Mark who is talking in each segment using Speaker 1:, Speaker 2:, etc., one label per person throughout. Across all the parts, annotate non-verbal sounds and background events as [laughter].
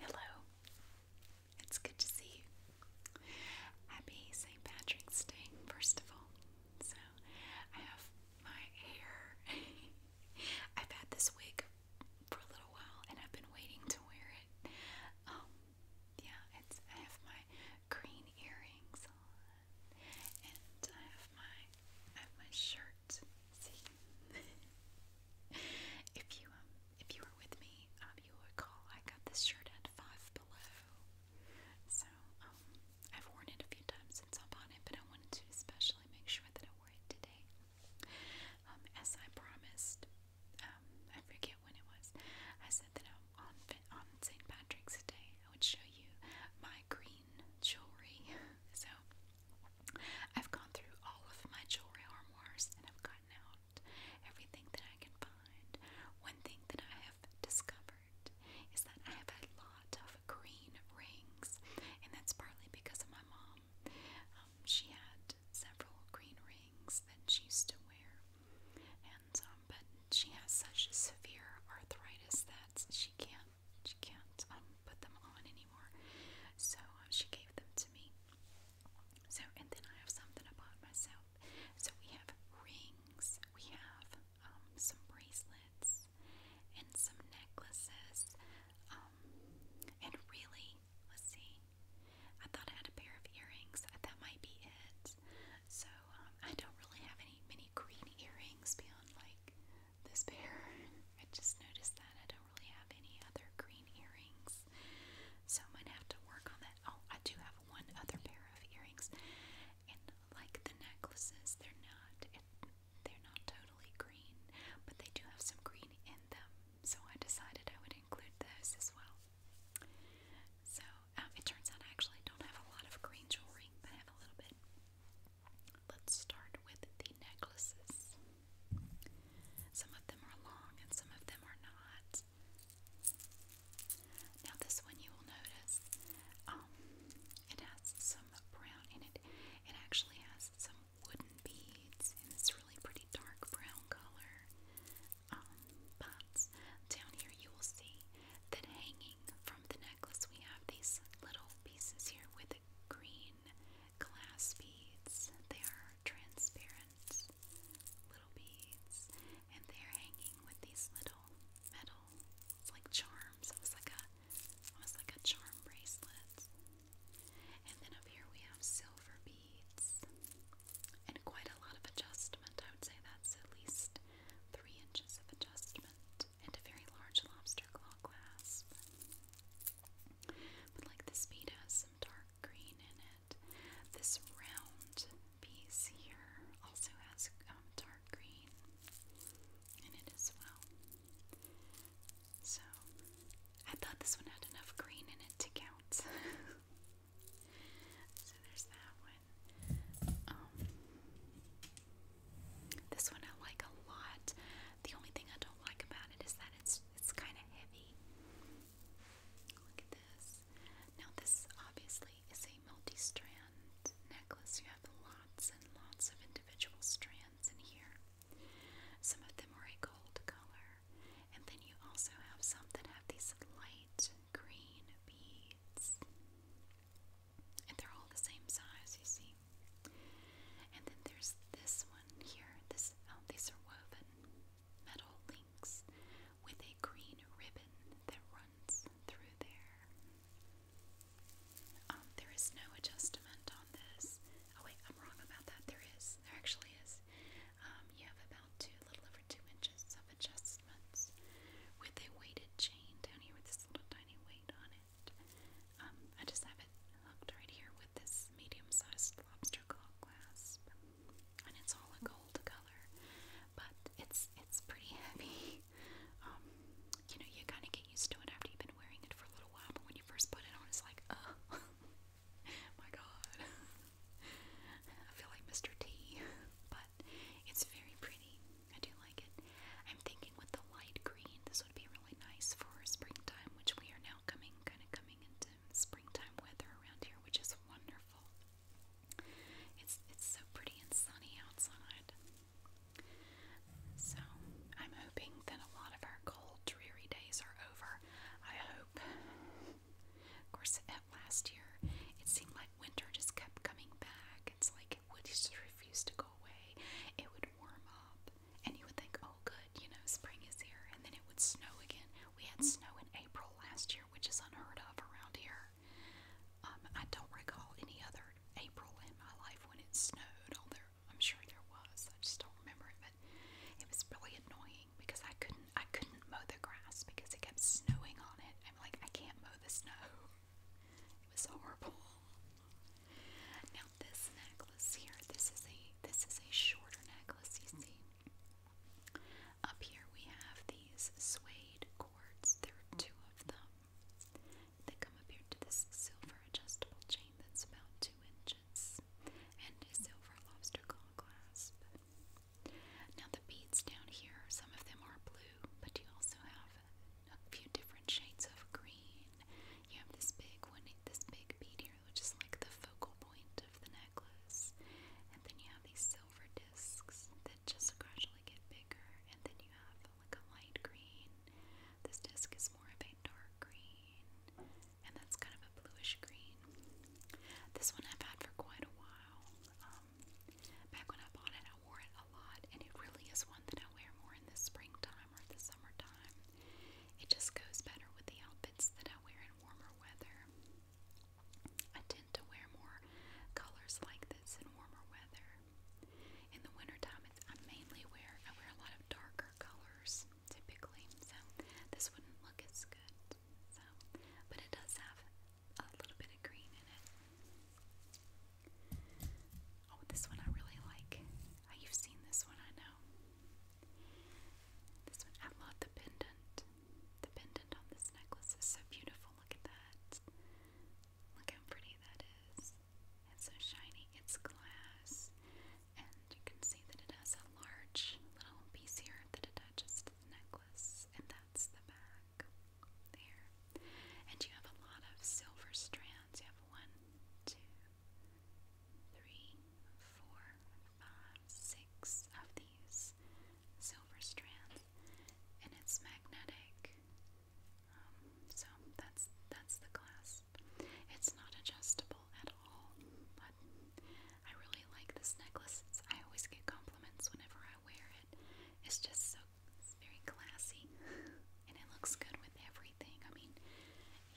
Speaker 1: Hello. It's good to see you. Happy St. Patrick's Day, first of all. So, I have my hair. [laughs] I've had this wig for a little while and I've been waiting to wear it. Um, yeah, I have my green earrings on and I have my I have my shirt see, [laughs] if you um, if you were with me, um, you will recall I got this shirt at Five Below, so um, I've worn it a few times since I bought it, but I wanted to especially make sure that I wore it today, as I promised. I forget when it was. I said that on St. Patrick's Day I would show you my green jewelry. [laughs] So I've gone through all of my jewelry armors and I've gotten out everything that I can find. One thing that I have discovered is that I have a lot of green rings, and that's partly because of my mom. Um, she had several green rings that she used to wear, and um, but she has such severe arthritis that she can't she can't um, put them on anymore. So uh, she gave them to me, so, and then I have something about myself. So we have rings, we have um, some bracelets, and some necklaces. Um, and really, let's see. I thought I had a pair of earrings. That might be it. So um, I don't really have any many green earrings beyond like this pair. [laughs] I just noticed that I don't really have any other green earrings. So I might have to work on that. Oh, I do have one other pair of earrings. And like the necklaces, they're not they're not totally green, but they do have some green in them. So I decided I would include those as well. So um, it turns out I actually don't have a lot of green jewelry, but I have a little bit. Let's start with the necklaces. Some of them are long and some of them are not. Now, this one you will notice um, it has some brown in it. It actually has some wooden beads in this really pretty dark brown color. but um, down here you will see that hanging from the necklace we have these little pieces here with green glass beads. They are transparent little beads, and they're hanging with these little metal, like charms. It was like a, almost like a charm bracelet. And then up here we have silver beads, and quite a lot of adjustment. I would say that's at least three inches of adjustment, and a very large lobster claw clasp. But like this bead has some dark green in it. This round piece here also has um, dark green in it as well. So I thought this one had enough green in it to count. [laughs] so there's that one. Um, this one I like a lot. The only thing I don't like about it is that it's it's kind of heavy. Look at this. Now this obviously is a multi-strand necklace. You have lots and lots of individual strands in here. Some of them are a gold color, and then you also have some that have these light green beads. And they're all the same size, you see. And then there's this one here. This oh, woven metal links with a green ribbon that runs through there. Um, there is no adjustment on this. Oh wait, I'm wrong about that. There is. There actually is. Um, you have about two, a little over two inches of adjustments with a weighted chain down with this little tiny weight on it. I just have it hooked right here this medium-sized lobster claw clasp, and it's all a gold color, but it's it's pretty heavy. [laughs] Um, you know, you kind of get used to it after you've been wearing it for a little while, but when you first put it on, it's like, oh, [laughs] my god. [laughs] I feel like Mr. T, but it's very pretty. I do like it. I'm thinking with the light green, this would be really nice for springtime, which we are now coming, kind of coming into springtime weather around here, which is wonderful. It's it's so pretty and sunny outside. So I'm hoping that a lot of our cold, dreary days are over. I hope. Of course, at last year, it seemed like winter just kept coming back. It's like it would just refuse to go away. It would warm up, and you would think, oh, good, you know, spring is here, and then it would snow again. We had mm-hmm. snow in April last year, which is unheard of around here. Um, I don't recall any other April in my life when it snowed, although I'm sure there was. I just don't remember it, but it was really annoying because I couldn't I couldn't mow the grass because it kept snowing on it. I'm like, I can't mow the snow. [laughs] It was horrible. Now this necklace here, this is a this is a shorter necklace, you see. Up here we have these suede cords. There are two of them. They come up here to this silver adjustable chain that's about two inches and a silver lobster claw clasp. Now the beads down here, some of them are blue, but you also have a few different shades of green. You have this big one, this big bead here here, which is like the focal point of the necklace. And then you have these silver discs that just gradually get bigger. And then you have like a light green. This disc is more of a dark green. And that's kind of a bluish green. This one I've had for quite a while. Um, back when I bought it, I wore it a lot. And it really is one that I wear more in the springtime the summertime. It just goes better with the outfits that I wear in warmer weather. I tend to wear more colors like this in warmer weather. In the wintertime, I mainly wear, I wear a lot of darker colors typically, so this wouldn't look as good. So, but it does have a little bit of green in it. Oh, this one I really like. Oh, you seen this one, I know. This I love the pendant. The pendant on this necklace is so beautiful. Look at that. Look how pretty that is. It's so shiny. It's glass. And you can see that it has a large little piece here that attaches to the necklace. And that's the back. There. And you have a lot of silver strands. You have one, two, three, four, five, six of these silver strands, and it's magnetic. Um, so that's that's the clasp. It's not adjustable at all, but I really like this necklace. I always get compliments whenever I wear it. It's just so very classy, [laughs] and it looks good with every I mean,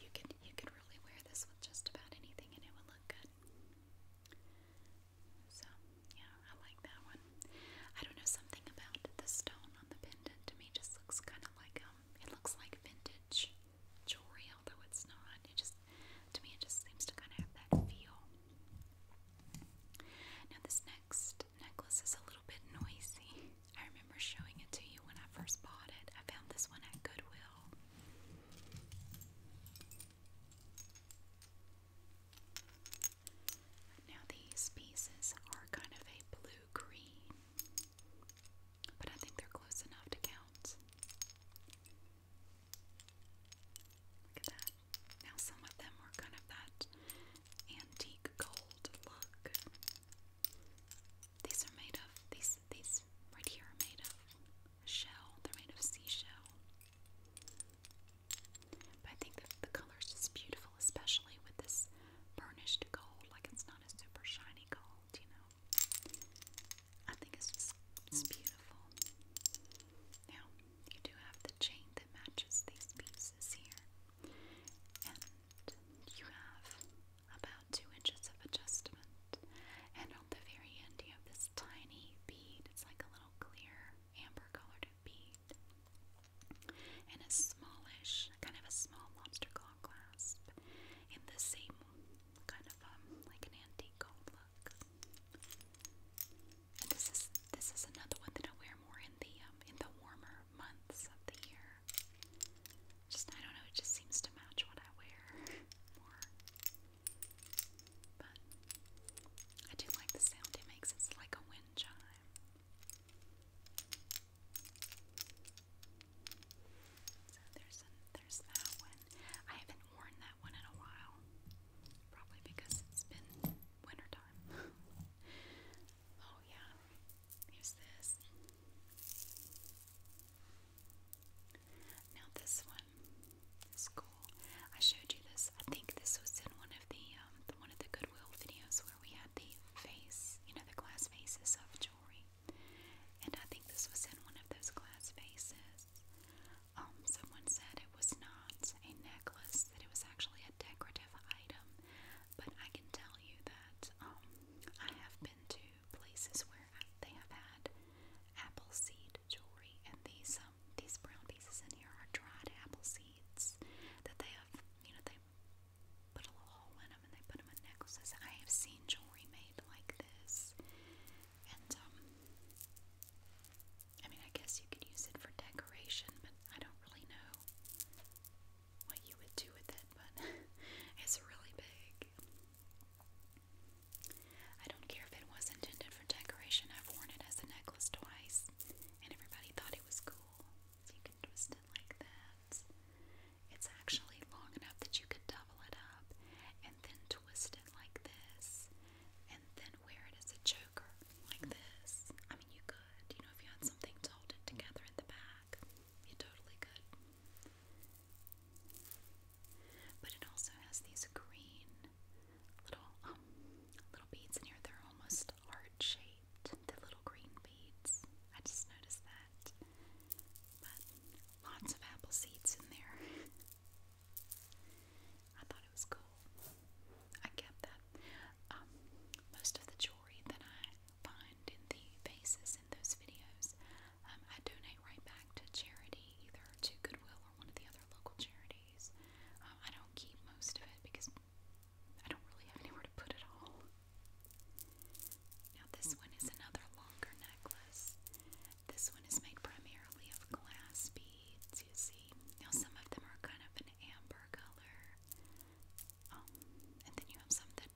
Speaker 1: you could you could really wear this with just about anything and it would look good. So yeah, I like that one. I don't know something about the stone on the pendant to me just looks kind of like um, it looks like vintage jewelry, although it's not. It just to me it just seems to kind of have that feel. Now this next necklace is a little bit noisy. I remember showing it to you when I first bought it. I found this one at Goodwill. Now, these pieces are kind of a blue green, but I think they're close enough to count. Look at that. Now, some of them are kind of that antique gold look. These are made of these these right here are made of shell. They're made of seashell. But I think the, the color is just beautiful, especially with this burnished gold. Like it's not a super shiny gold, you know. I think it's just it's beautiful. Now you do have the chain that matches these pieces here, and you have about two inches of adjustment. And on the very end, you have this tiny bead. It's like a little clear amber colored bead. And a smallish, kind of a small lobster claw clasp in the same kind of um, like an antique gold look. And this is this is another one that I wear more in the um, in the warmer months of the year. Just, I don't know, it just seems to match what I wear more. But I do like the sound it makes, it's like a wind chime. So there's, there's that one. I haven't worn that one in a while, probably because it's been wintertime. [laughs] oh, yeah. Here's this. Now this one is cool. I showed you this. I think this was in one of the um, one of the Goodwill videos where we had the face, you know, the glass faces of jewelry. And I think this was in one of those glass faces. Um, someone said it was not a necklace; that it was actually a decorative item. But I can tell you that um, I have been to places where they have had apple seed jewelry, and these um, these brown pieces in here are dried apple seeds that they have. You know, they put a little hole in them and they put them in necklaces. I have seen jewelry made like this, and um, I mean, I guess you could use it for decoration, but I don't really know what you would do with it, but [laughs] it's really big. I don't care if it was intended for decoration, I've worn it as a necklace twice, and everybody thought it was cool. So you can twist it like that. It's actually long enough that you could double it up and then twist it like this, and then wear it as a choker like this. I mean, you could, you know, if you had something to hold it together in the back, you totally could. But it also has these green little um, little beads in here. They're almost heart shaped. The little green beads. I just noticed that. But lots of apple seeds in there. [laughs] I thought it was cool. I kept that. Um, most of the jewelry that I find in the faces in those videos, um, I donate right back to charity, either to Goodwill or one of the other local charities. Um, I don't keep most of it because I don't really have anywhere to put it all. Now, this one is another longer necklace. This one is made primarily of glass beads, you see. Now, some of them are kind of an amber color, um, and then you have some that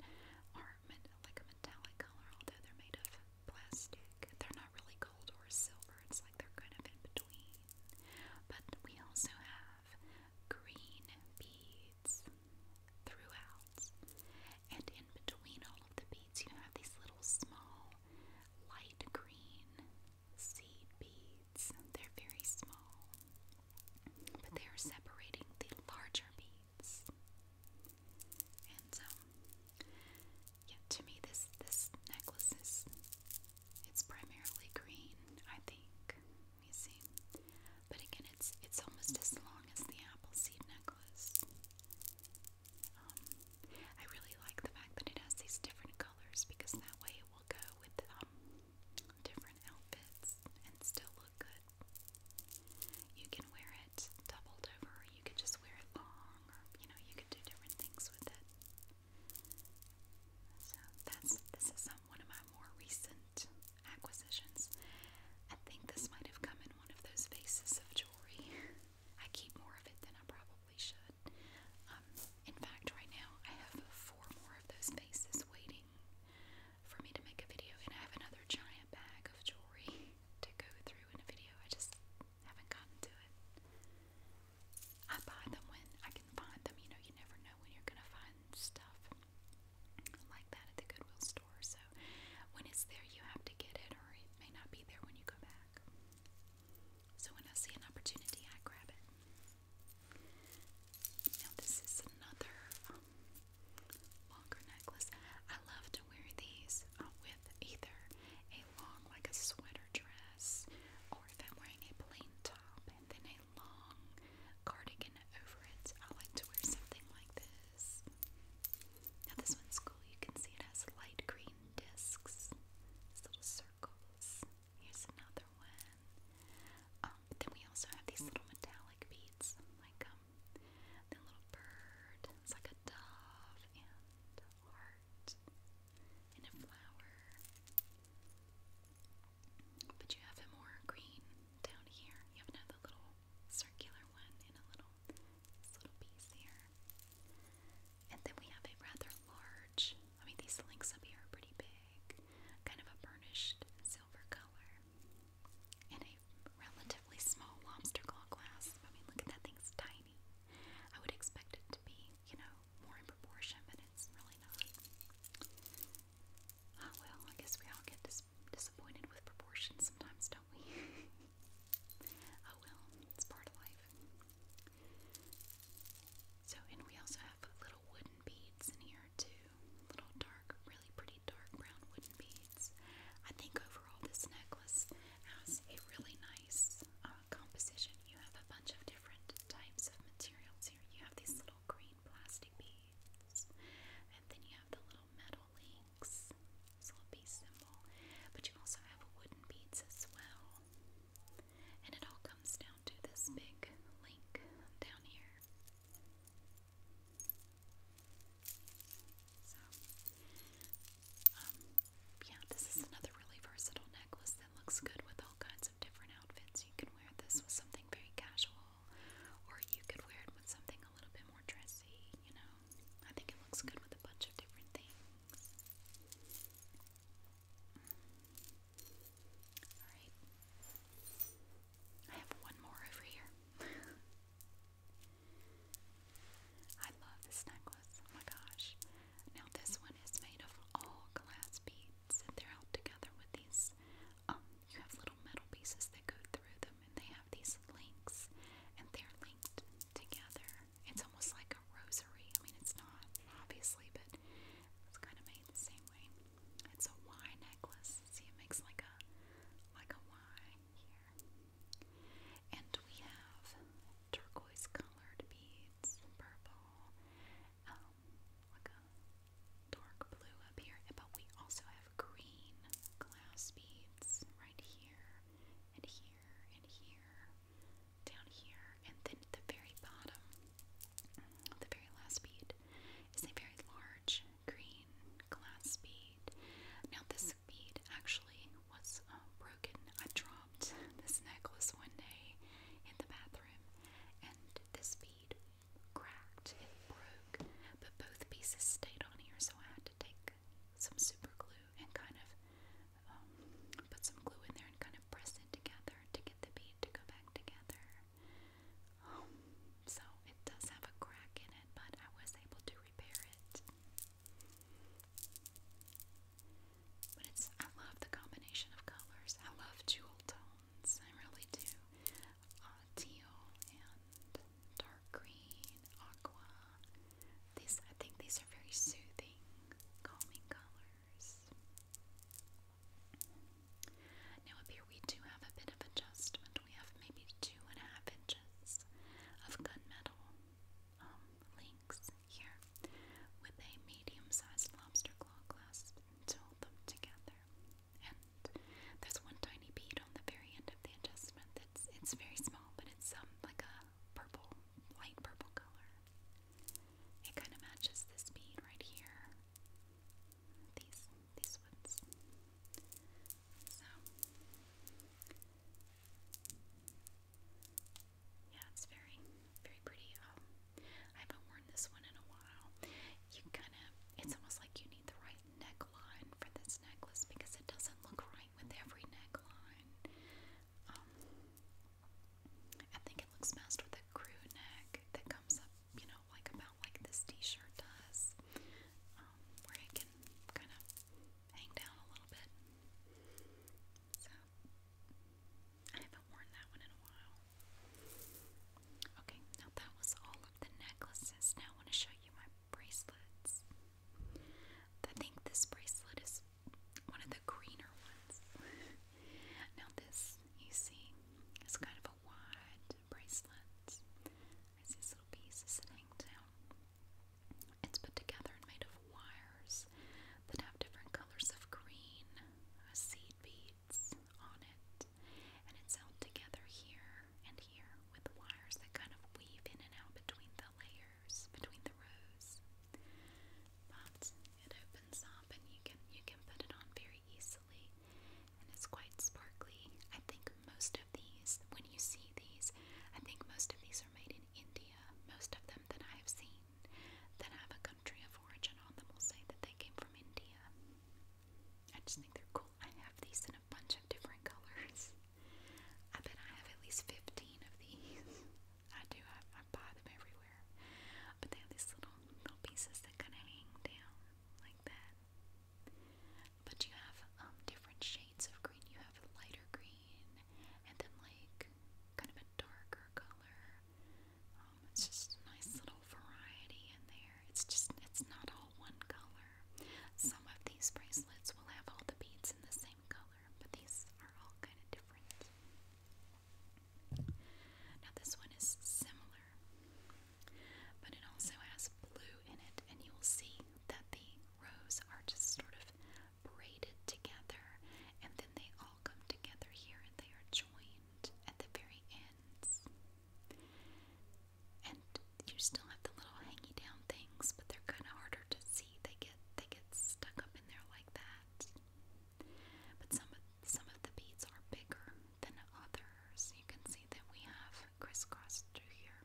Speaker 1: are like a metallic color, although they're made of plastic. They're not really gold or silver, it's like they're kind of in between. But we also have green beads throughout. And in between all of the beads, you have these little small light green seed beads. They're very small, but they are separating the larger beads. And so, yeah, to me, this this necklace is it's primarily green, I think. You see, but again, it's it's almost as long as the appleseed necklace. Um, I really like the fact that it has these different colors because that way it will go with um different outfits and still look good. You can wear it doubled over, you could just wear it long, or you know, you could do different things with it. So that's this is um, one of my more recent acquisitions. I think this might have come in one of those vases of jewelry. [laughs] I keep more of it than I probably should. Um, in fact, right now I have four more of those vases waiting for me to make a video. And I have another giant bag of jewelry to go through in a video. I just haven't gotten to it. I buy them when I can find them. You know, you never know when you're going to find stuff like that at the Goodwill store. So when it's there, you have to get it, or it may not be there when you go back. So when I see an opportunity, I grab it. Now, this is another um, longer necklace. I love to wear these uh, with either a long, like a sweater dress, or if I'm wearing a plain top and then a long cardigan over it. I like to wear something like this. Now, this one's cool. You can see it has light green discs, little circles. Here's another one. Um, then we also have these little metallic beads, like um, the little bird, it's like a dove and heart and a flower. But you have a more green down here. You have another little circular one and a little little piece here. And then we have a rather large, I mean these links up here are pretty big, kind of a burnished silver color in a relatively small lobster claw glass. I mean, look at that thing's tiny. I would expect it to be, you know, more in proportion, but it's really not. oh, well, I guess we all get disappointed with proportions sometimes, don't we? [laughs] oh, well, it's part of life. So, and we also have little wooden beads in here, too little dark, really pretty dark brown wooden beads. I think overall this necklace has a really nice uh, composition. You have a bunch of different types of materials here. You have these little green plastic beads, and then you have the little metal links, this little bead symbol. But you also have wooden beads as well. And it all comes down to this big link down here. So, um, yeah, this is another really versatile necklace that looks good with all kinds of different outfits. You can wear this with something very casual, or you could wear it with something a little bit more dressy, you know. I think it looks good with a bunch of different things. Alright. I have one more over here. I love this necklace. Oh my gosh. Now this one is made of all glass beads and they're held together with these um, you have little metal pieces that go through them and they have these links and they're linked together. It's almost like a rosary. I mean it's not obviously but it's kind of made the same way. It's a Y necklace. See, it makes like a like a Y here. And we have turquoise colored beads, purple, um, like a dark blue up here. But we also have green glass beads right here and here and here, down here, and then at the very bottom, the very last bead is a very large green glass bead. Now, this bead actually was um, broken. I dropped this necklace one day in the bathroom, and this bead cracked, it broke, but both pieces stayed on here, so I had to take some super glue and kind of um, put some glue in there and kind of press it together to get the bead to go back together. Um, so it does have a crack in it, but I was able to repair it. But it's I love the combination of colors. I love jewel tones. I really do. Uh, teal and dark green, aqua. These I think these are very soothing, calming colors. Now, up here we do have a bit of adjustment. We have maybe two and a half inches of gunmetal um, links here with a medium sized lobster claw clasp to hold them together. And there's one tiny bead on the very end of the adjustment that's it's very small, but it's um, like a purple, light purple color. It kind of matches this bead right here these these woods. So yeah, it's very very pretty. Um, I haven't worn this one in a while. You kind of it's almost like you need the right neckline for this necklace because it doesn't look right with every neckline. Um, I think it looks best with a crew neck that comes up, you know, like about like this t-shirt does. Um, where it can kind of hang down a little bit. So, I haven't worn that one in a while. Okay, now that was all of the necklaces. Now I want to show you my bracelets. I think this bracelet is one of the greener ones. [laughs] now, this you see is kind of a wide bracelets. I see little pieces that down. It's put together and made of wires that have different colors of green, uh, seed beads on it, and it's held together here and here with wires that kind of weave in and out between the layers, between the rows. But it opens up and you can you can put it on very easily and it's quite sparkly. I think most of these, when you see these, I think most of these are made in India. Most of them that I have seen that have a country of origin on them will say that they came from India. I just think they're cool. I have these in a bunch of different [laughs] colors. I bet I have at least 15 of these. [laughs] I do, I, I buy them everywhere. But they have these little, little pieces that kind of hang down like that. But you have um, different shades of green. You have a lighter green, and then like kind of a darker color. Um, it's just a nice little variety in there. It's just it's not all one color. Some of these bracelets will have all the beads in the same color, but these are all kind of different. Now this one is similar but it also has blue in it, and you will see that the rows are just sort of braided together, and then they all come together here and they are joined at the very ends. And you still have the little hanging down things, but they're kind of harder to see. They get they get stuck up in there like that. But some of some of the beads are bigger than others. You can see that we have crisscrossed through here.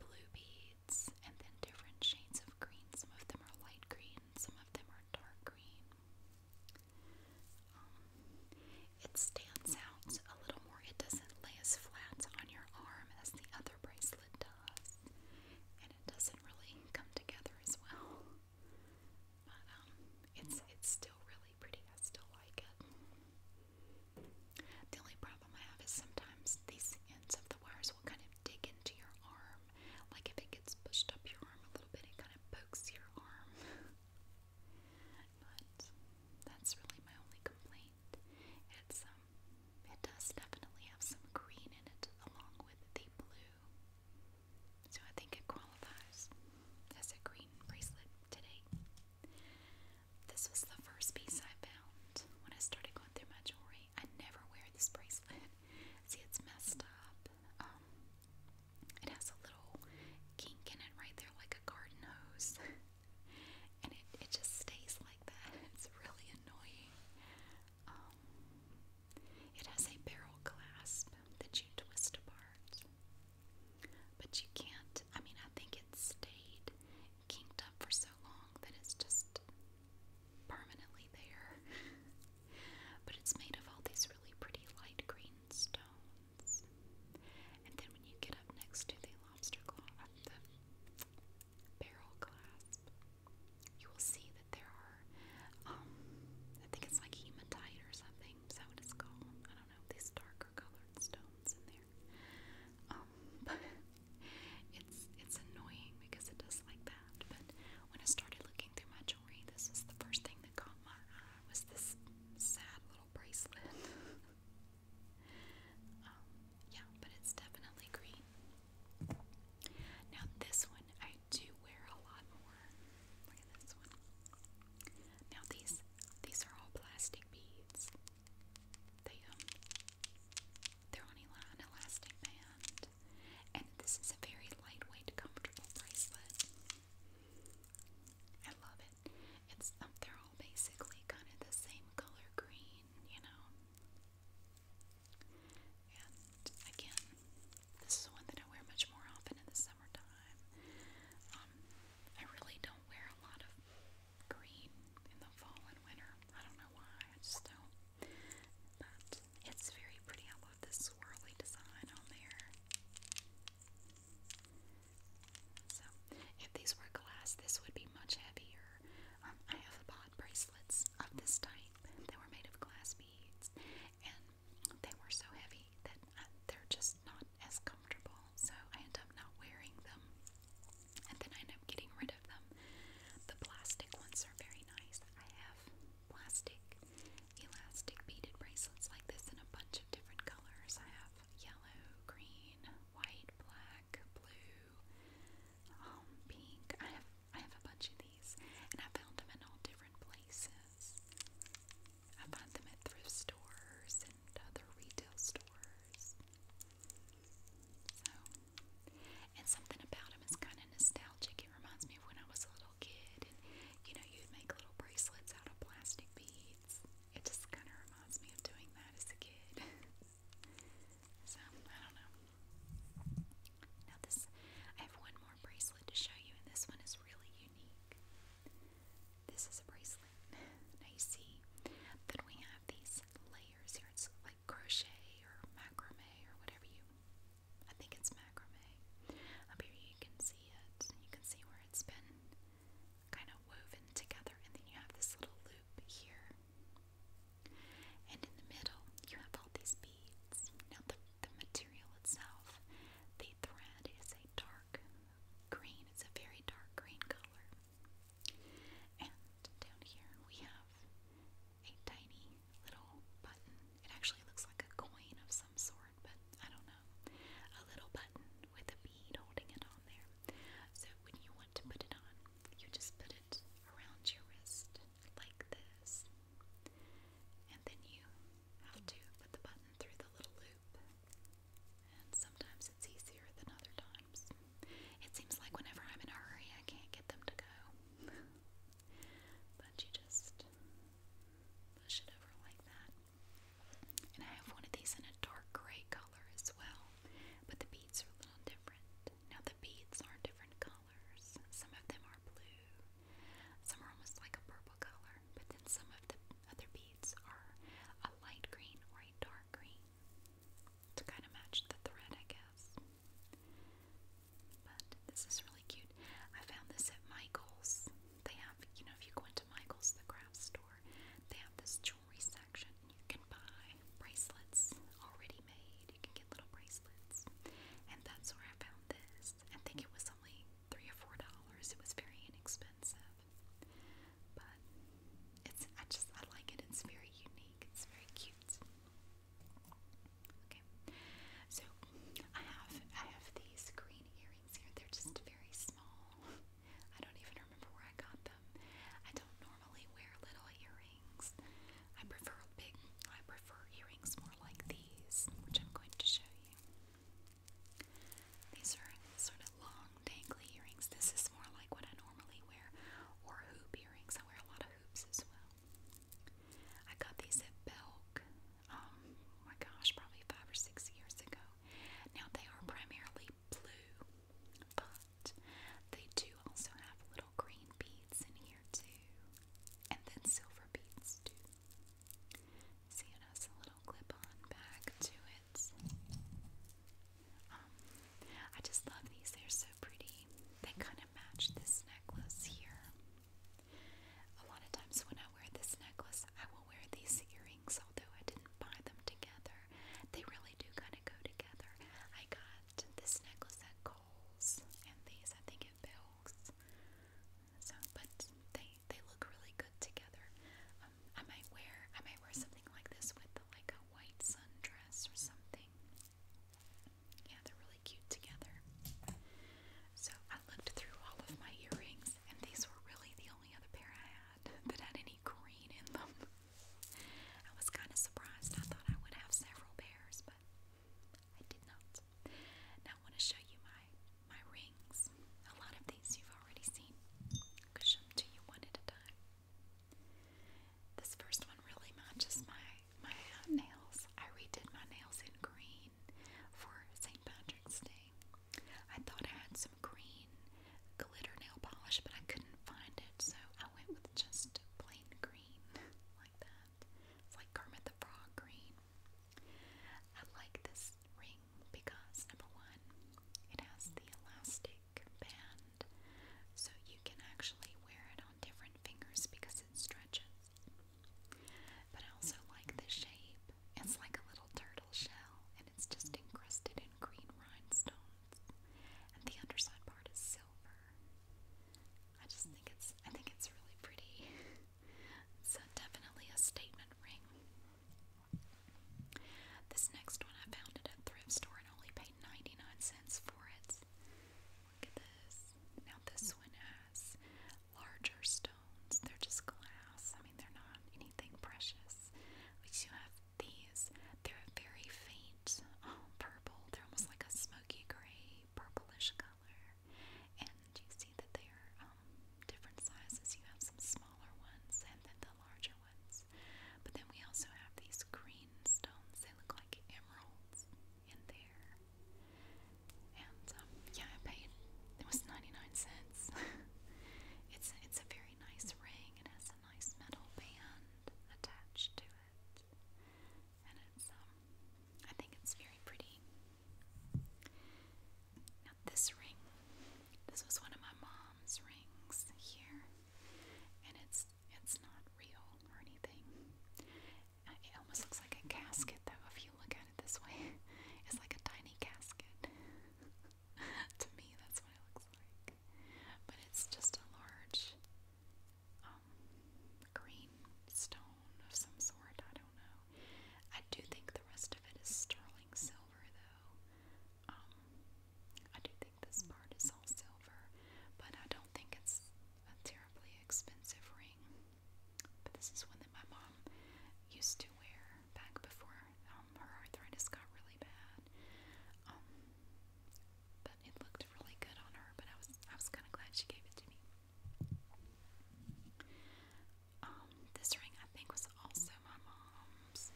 Speaker 1: Blue beads and then different shades of green. Some of them are light green, some of them are dark green. Um, it stands out a little more. It doesn't lay as flat on your arm as the other bracelet does. And it doesn't really come together as well. But um, it's, it's still really pretty. I still like it. The only problem I have is sometimes these ends of the wires will kind of dig into your arm. Like if it gets pushed up your arm a little bit, it kind of pokes your arm. but that's really my only complaint. It's um it does definitely have some green in it along with the blue. So I think it qualifies as a green bracelet today. This was the first piece I found when I started going through my jewelry. I never wear this bracelet. [laughs] See, it's messed up. Um, it has a little kink in it right there, like a garden hose. [laughs] and it, it just stays like that. [laughs] It's really annoying. Um, it has a barrel clasp that you twist apart. But you can't, I mean, I think it stayed kinked up for so long that it's just permanently there. [laughs] but it's made of all these really pretty light green stones. And then when you get up next to the lobster claw, uh, the barrel clasp, you will see that there are, um, I think it's like hematite or something. Is that what it's called? these darker colored stones in there. Um, [laughs] it's it's annoying because it does like that. But when I started looking through my jewelry, this was the first thing that caught my eye was this sad little bracelet. [laughs] Um, yeah, but it's definitely green. Now this one I do wear a lot more. Look at this one. Now these these are all plastic beads. They um they're on an elastic band. And this is a very lightweight, comfortable bracelet. I love it. It's um, they're all basically kind of the same color green, you know. And again, this is one that I wear much more often in the summertime. Um, I really don't wear a lot of green in the fall and winter. I don't know why, I just don't. But it's very pretty. I love this swirly design on there. So, if these were glass, this would be much heavier. Um, I have bought bracelets of this type. They were made of glass beads, and they were so heavy that uh, they're just not as comfortable, so I end up not wearing them, and then I end up getting rid of them. The plastic ones are very nice. I have plastic elastic beaded bracelets like this in a bunch of different colors. I have yellow, green, white, black, blue, um, pink. I have I have a bunch of these, and I found them in all different places. I find them at thrift stores and other retail stores. So, and something about them is kind of nostalgic. It reminds me of when I was a little kid, and you know, you'd make little bracelets out of plastic beads. It just kind of reminds me of doing that as a kid. [laughs] so, I don't know. Now, this I have one more bracelet to show you, and this one is really unique. This is a bracelet. [laughs] now you we have these layers here. It's like crochet or macrame or whatever you. I think it's macrame. Up here you can see it. You can see where it's been kind of woven together, and then you have this little loop here. And in the middle, you have all these beads. Now the the material itself, the thread is a dark green. It's a very dark green color. And down here we have a tiny little button. It actually looks like a coin of some sort, but I don't know. A little button with a bead holding it on there. So when you want to put it on, you just put it around your wrist like this. And then you have to put the button through the little loop sometimes it's easier than other times. It seems like whenever I'm in a hurry, I can't get them to go. [laughs] but you just push it over like that. And I have one of these in a dark gray color as well, but the beads are a little different. Now, the beads are different colors. Some of them are blue, some are almost like a purple color, but then some of the other beads beads are a light green or a dark green to kind of match the thread, I guess. But this is really cute. I found this at Michael's. They have, you know, if you go into Michael's, the craft store, they have this jewelry section. You can buy bracelets already made. You can get little bracelets. And that's where I found this. I think it was only three or four dollars. It was very inexpensive, but it's I just I like it. It's very unique. It's very cute. Okay, so I have I have these green earrings here. They're just very small. I don't even remember where I got them. I don't normally wear little earrings. I prefer big. I prefer earrings more like these, which I'm going to show you. These are sort of long, dangly earrings. This is more like what I normally wear, or hoop earrings. I wear a lot of hoops as well. I got these at Belk, um, my gosh, probably five or six years ago. Now they are primarily blue, but they do also have little green beads in here too, and then silver beads too. See, it a little clip-on back to it. Um, I just love these. They're so pretty. They kind of match this necklace here. A lot of times when I wear this necklace, I will wear these earrings, although I didn't buy them together. They really do kind of go together. I got this necklace at Kohl's, and these I think at Belk's. So, but they they look really good together. Um, I might wear I might wear something like this with like a white sundress or something. Yeah, they're really cute together. So I looked through all of my earrings, and these were really the only other pair I had [laughs] that had any green in them. I was kind of surprised. I thought I would have several pairs, but I did not. I want to show you my my rings. A lot of these you've already seen. I'll show them to you one at a time. This first one really matches my my nails. I redid my nails in green for St. Patrick's Day. I thought I had some green glitter nail polish, but I couldn't find it, so I went with just plain green [laughs] like that. It's like Kermit the Frog green. I like this ring because number one, it has the elastic band, so you can actually wear it on different fingers because it stretches. But I also like the shape. It's like a little turtle shell and it's just encrusted in green rhinestones. And the underside part is silver. I just think it's I think it's really pretty. [laughs] so definitely a statement ring. This next one I found at a thrift store and only paid 99 cents for it. Look at this. Now, this one has larger stones. They're just glass. I mean, they're not anything precious. We do have these. They're a very faint um, purple. They're almost like a smoky gray, purplish color and you see that they are um, different sizes. You have some smaller ones and then the larger ones. But then we also have these green stones. They look like emeralds in there. And um, yeah, I paid. It was 99 cents. [laughs] it's it's a very nice ring. It has a nice metal band attached to it, and it's um I think it's very pretty this ring, this was one of my mom's rings here, and it's it's not real or anything. Uh, it almost looks like a casket, though, if you look at it this way. [laughs] It's like a tiny casket. [laughs] to me, that's what it looks like. But it's just a large um, green stone of some sort, I don't know. I do think the rest of it is sterling silver, though. Um, I do think this part is all silver, but I don't think it's a terribly expensive ring. But this is one that my mom used to wear back before um, her arthritis got really bad. Um, but it looked really good on her. But I was I was kind of glad she gave it to me. Um, this ring I think was also my mom's.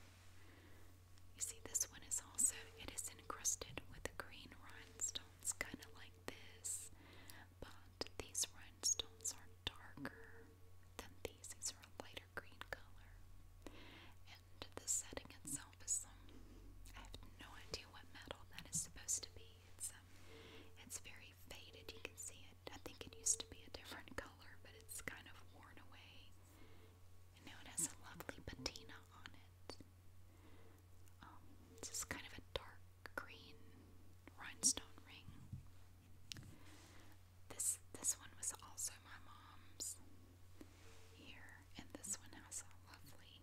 Speaker 1: You see, this one is also it is encrusted with green rhinestones, kind of like this, but these rhinestones are darker than these. These are a lighter green color, and the setting itself is I have no idea what metal that is supposed to be. It's um, it's very faded. You can see it. I think it used to be a different color, but it's kind of worn away. now it has a lovely patina on it. Um, it's kind of a dark green rhinestone ring. This this one was also my mom's here, and this one has a lovely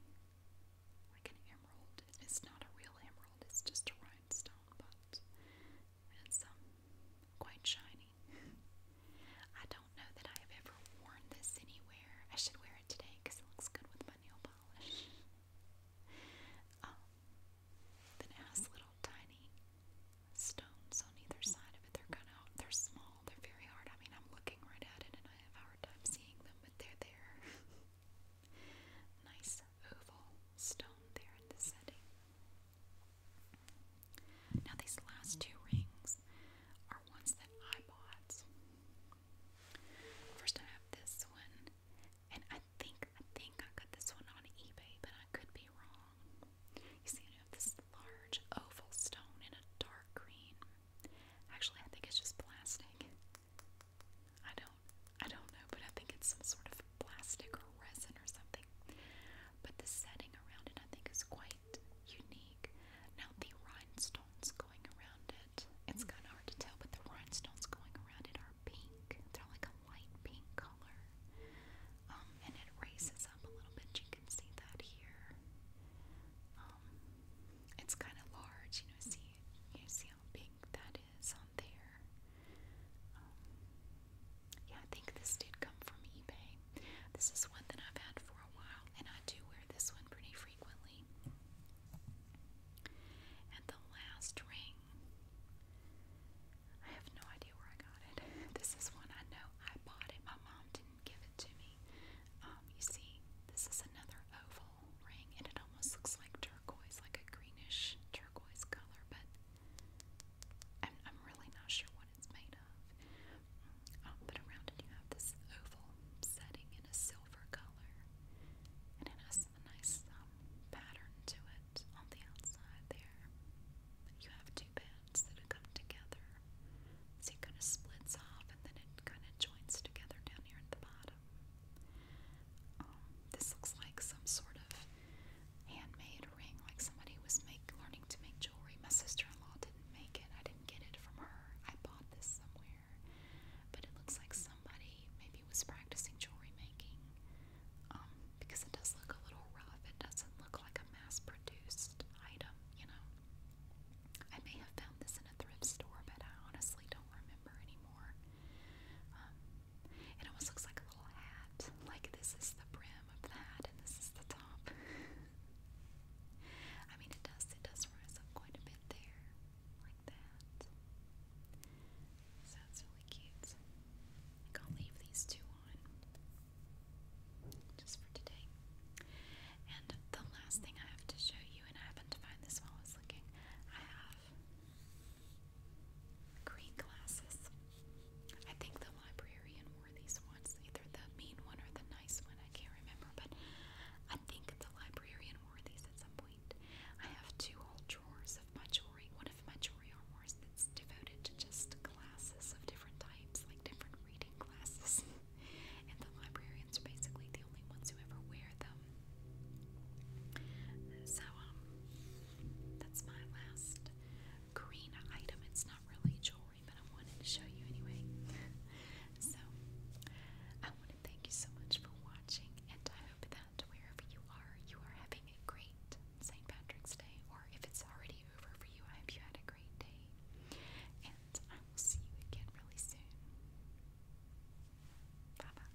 Speaker 1: like an emerald. It's not a real emerald, it's just a rhinestone, but and some quite shiny. [laughs] I don't know that I have ever worn this anywhere. I should wear it today because it looks good with my nail polish. [laughs] Um, then it has little tiny stones on either side of it. They're kind of they're small. They're very hard. I mean, I'm looking right at it and I have hard time seeing them, but they're there. [laughs] nice oval stone there in the setting. Now, these last two rings are ones that I bought. First, I have this one, and I think I think I got this one on eBay, but I could be wrong. You see, I have this large oval stone in a dark green. Actually, I think it's just plastic. I don't I don't know, but I think it's some sort of plastic or resin or something. But the setting around it I think is quite unique. Now the rhinestones going around it, it's kind of hard to tell, but the rhinestones going around it are pink. They're like a light pink color. Um, and it raises up a little bit. You can see that here. Um, it's kind of large, you know. See, you see how big that is is on there. Um, yeah, I think this did come from eBay. This is one that I've had for a while, and I do wear this one pretty frequently. And the last ring, I have no idea where I got it. [laughs] This is one I know I bought it. My mom didn't give it to me. Um, you see, this is another oval ring, and it almost looks like turquoise, like a greenish turquoise color, but I'm, really not sure what it's made of. but around it, you have this oval setting in a silver color, and it has a nice um, pattern to it on the outside there. You have two beds that come together, so it kind of splits off, and then it kind of joins together down here at the bottom. Um, this looks like some sort of handmade ring, like somebody was make, learning to make jewelry. My sister-in-law didn't make it. I didn't get it from her. I bought this somewhere. But it looks like somebody maybe was practicing jewelry making um, because it does look a little rough. It doesn't look like a mass-produced item, you know. I may have found this in a thrift store, but I honestly don't remember anymore. Um, it almost looks like a little hat. Like this is the brim of the hat and this is the top. [laughs] I mean it does it does rise up quite a bit there. Like that. So that's really cute. I think I'll leave these two on just for today. And the last thing I have to show you, and I happened to find this while looking, I have green glasses. I think the librarian wore these ones, either the mean one or the nice one. I can't remember, but I think the librarian wore these at some point. I have two whole drawers of my jewelry. One of my jewelry drawers that's devoted to just glasses of different types, like different reading glasses. [laughs] and the librarians are basically the only ones who ever wear them. So, um, that's my last green item. It's not really jewelry, but I wanted to show you anyway. [laughs] so, I want to thank you so much for watching, and I hope that wherever you are, you are having a great St. Patrick's Day, or if it's already over for you, I hope you had a great day. And I will see you again really soon. Bye bye.